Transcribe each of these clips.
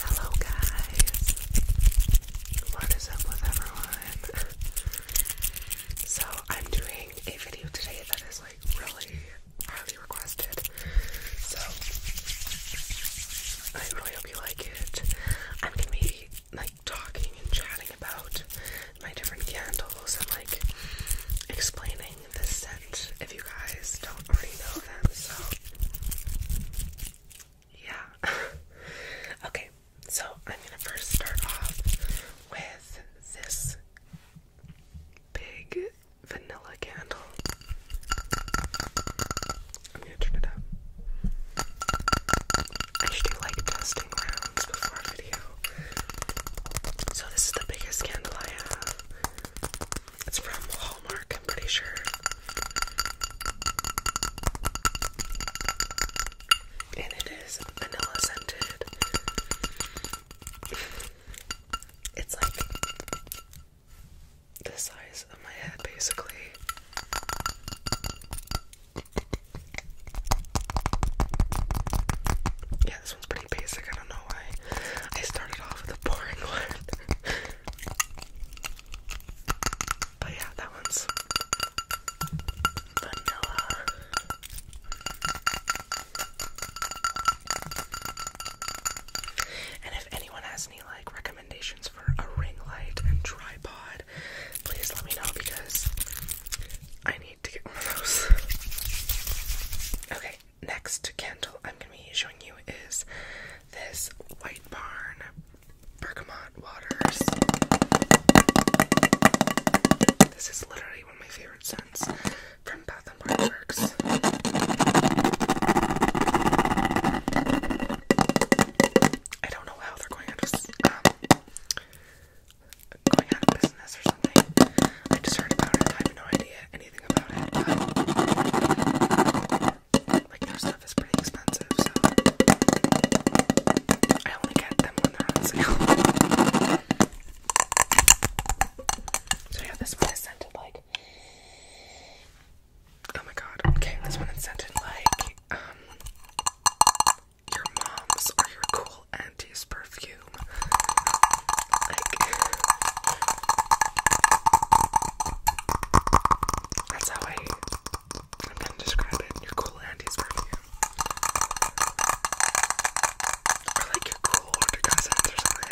Hello, guys. What is up with everyone? so, I'm doing a video today that is like really highly requested. So, I really hope you like it. I'm gonna be like talking and chatting about my different candles and like explaining loving this scent if you guys don't already know them, so yeah. okay, so I'm gonna first start off with this big vanilla candle. I'm gonna turn it up. I should do like testing rounds before a video. So this is the biggest candle I have. It's from Walmart, I'm pretty sure. And it is vanilla scented. It's like the size of my head, basically. Yeah, this one's pretty basic. I don't know why I started off with a boring one. but yeah, that one's vanilla. And if anyone has any like recommendations for a ring light and tripod, please let me know because I need to get one of those. Okay, next candle I'm going to be showing you is this White Barn Bergamot Waters. This is literally one of my favorite scents from Bath & Body Works. I don't know how they're um, going out of, business or something. I just heard about it. I have no idea like their stuff is pretty expensive, so I only get them when they're on sale. So yeah, this one is scented like oh my god. Okay, this one is scented like um your mom's or your cool auntie's perfume that's how I, I'm gonna describe it. Your cool auntie's perfume. Or like your cool older cousins or something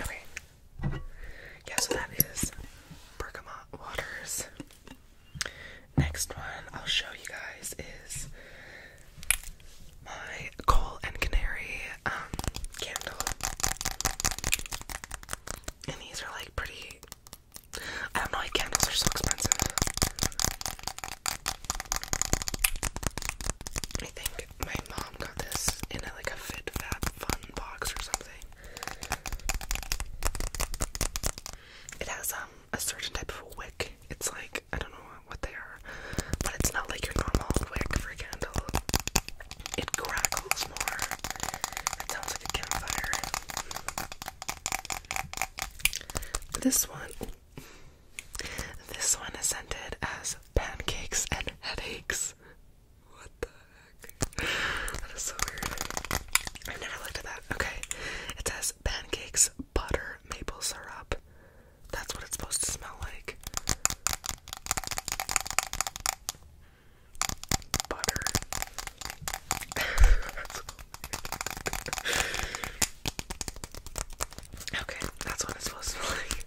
okay. Yeah, so that is bergamot waters. Next one I'll show you guys is my coal and canary um candle. And these are like pretty I don't know why candles are so expensive. I think my mom got this in a, like a fit fab fun box or something. It has um a certain type of wick. It's like I don't know what they are, but it's not like your normal wick for a candle. It crackles more. It sounds like a campfire. This one, this one is scented as pancakes and headaches. What the heck? That is so weird. I've never looked at that. Okay, it says pancakes, butter maple syrup. That's what it's supposed to smell like. Butter. okay, that's what it's supposed to smell like.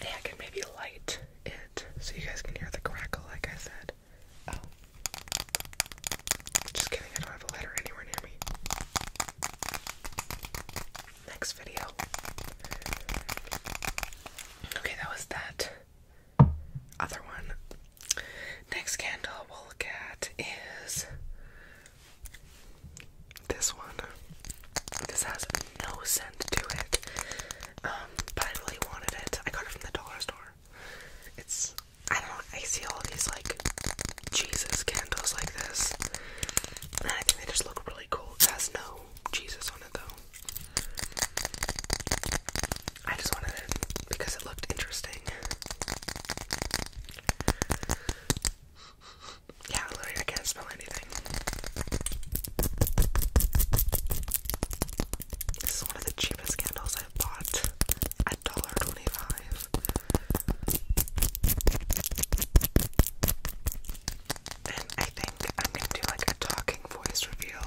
And I can maybe light it so you guys can hear the crackle, like I said. Oh. Just kidding, I don't have a ladder anywhere near me. Next video. Okay, that was that other one. Next candle we'll look at is this one. This has no scent to it. Um, but I really wanted it. I got it from the dollar store. It's I don't know, I see all these like Jesus candles like this. And I think they just look really cool. has no Jesus on it though. I just wanted it because it looked interesting. Yeah, literally I can't smell anything. This is one of the cheapest candles I've bought at $1.25. And I think I'm gonna do like a talking voice reveal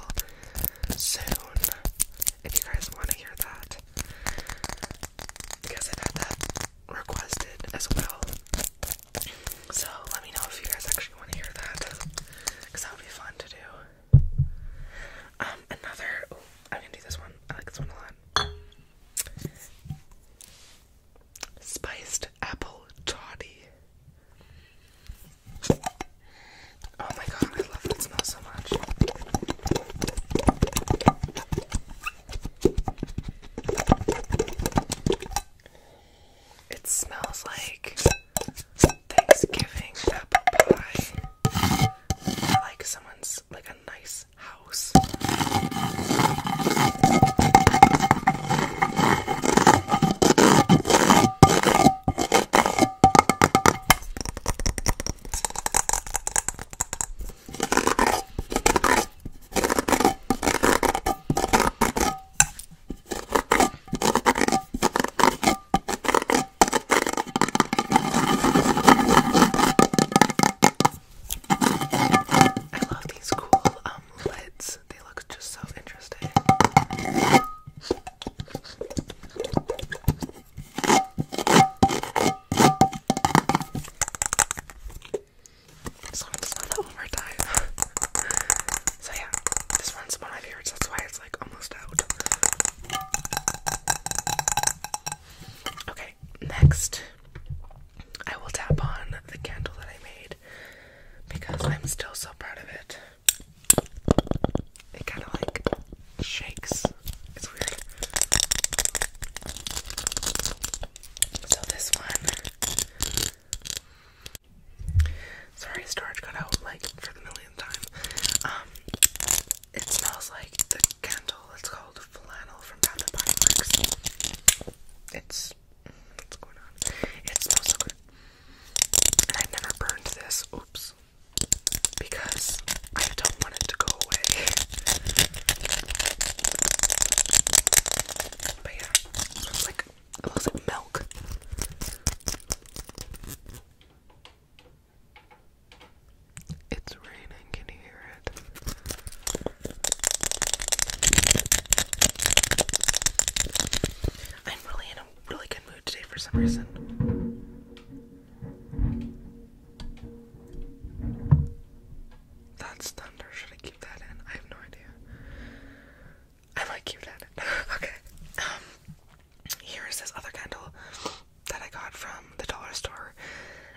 soon. If you guys want to hear that, because I've that requested as well. So let me know if you guys actually want to hear that, because that would be fun to do. Um, another. I'm gonna do this one. I like this one a lot. Spiced apple toddy. Oh my god, I love that smell so much. It smells like Thanksgiving I like someone's like a nice house. I love these cool um lids. They look just so interesting. So I'm just going one more time. so yeah, this one's one of my that's why it's like almost out. Okay, next I will tap on the candle that I made because I'm still so proud of it. It kind of like shakes. It's weird. So this one Sorry, storage got out like for the millionth time. Um, it smells like the candle. It's called flannel from Bath and Body Works. It's what's going on? It smells so good. And i never burned this. Oops. Because I don't want it to go away. But yeah, it like it looks like milk. It's raining, can you hear it? I'm really in a really good mood today for some reason. That's thunder. Should I keep that in? I have no idea. I like you, that. okay. Um, here is this other candle that I got from the dollar store,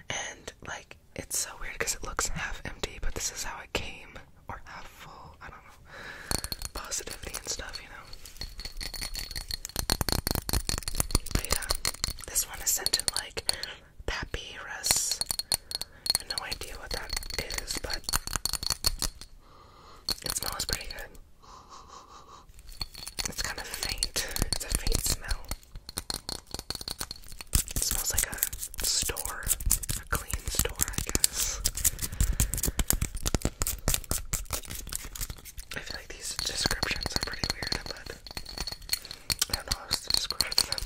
and like it's so weird because it looks half empty, but this is how it came, or half full. I don't know. Positivity and stuff, you know. But yeah, this one is scented like papyrus. I have no idea what that is, but it smells pretty good. It's kind of faint. It's a faint smell. It smells like a store, a clean store, I guess. I feel like these descriptions are pretty weird, but I don't know how to describe them.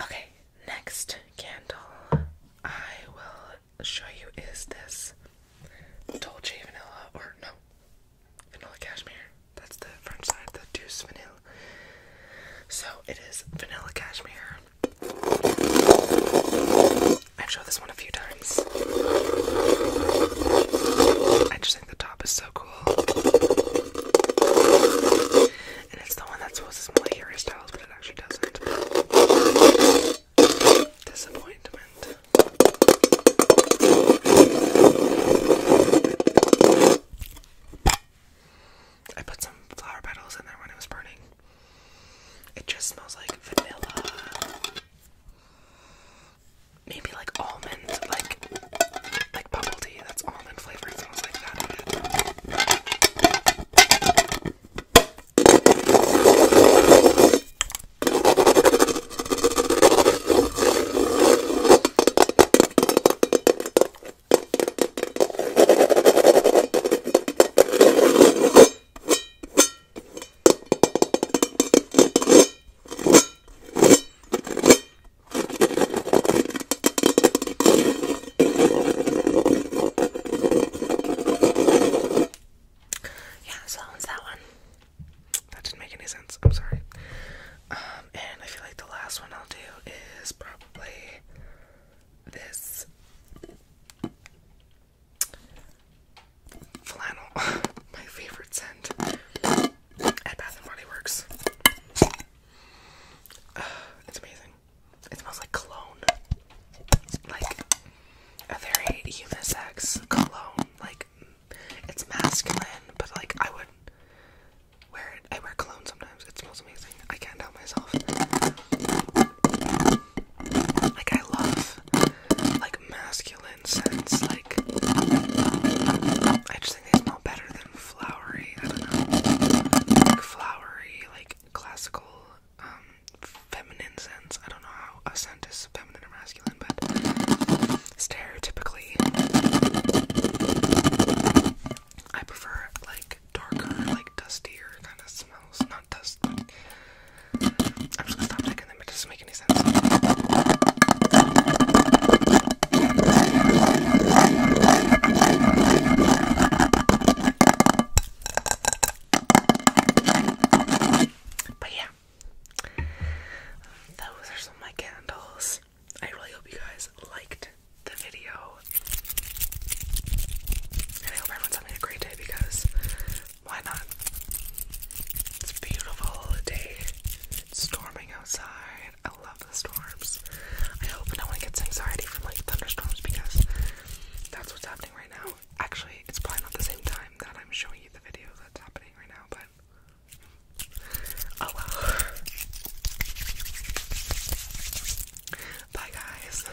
Okay, next candle I will show you is this Dolce Vanilla, or no, Vanilla Cashmere. That's the French side, the Deuce Vanilla. So it is Vanilla Cashmere. I've showed this one a few times. I just think the top is so cool. And it's the one that's supposed to smell like Harry Styles, but it actually doesn't. Disappointment. I put some flower petals in there when it was burning. It just smells like vanilla maybe like almond, like like bubble tea that's almond flavored smells like that yeah, so that one's that one. That didn't make any sense. I'm sorry. Um, and I feel like the last one I'll do is probably this flannel, my favorite scent at Bath and Body Works. Uh, it's amazing. It smells like cologne, like a very unisex cologne. Like it's masculine, but like I would wear it. I wear cologne sometimes. It smells amazing. I can't help myself. Like I love like masculine scents. Like I just think they smell better than flowery. I don't know. Like flowery, like classical, um, feminine scents. I don't know how a scent is feminine or masculine, but stereotypically I prefer like darker, like dustier kind of smell minerals, not dust. I'm just gonna stop taking them, it doesn't make any sense. But yeah, those are some of my candles. I really hope you guys liked the video. And I hope everyone's having a great day because why not? It's beautiful day. It's storming outside. I love the storms. I hope no one gets anxiety from like thunderstorms because that's what's happening right now. Actually, it's probably not the same time that I'm showing you the video that's happening right now, but oh well. Bye, guys.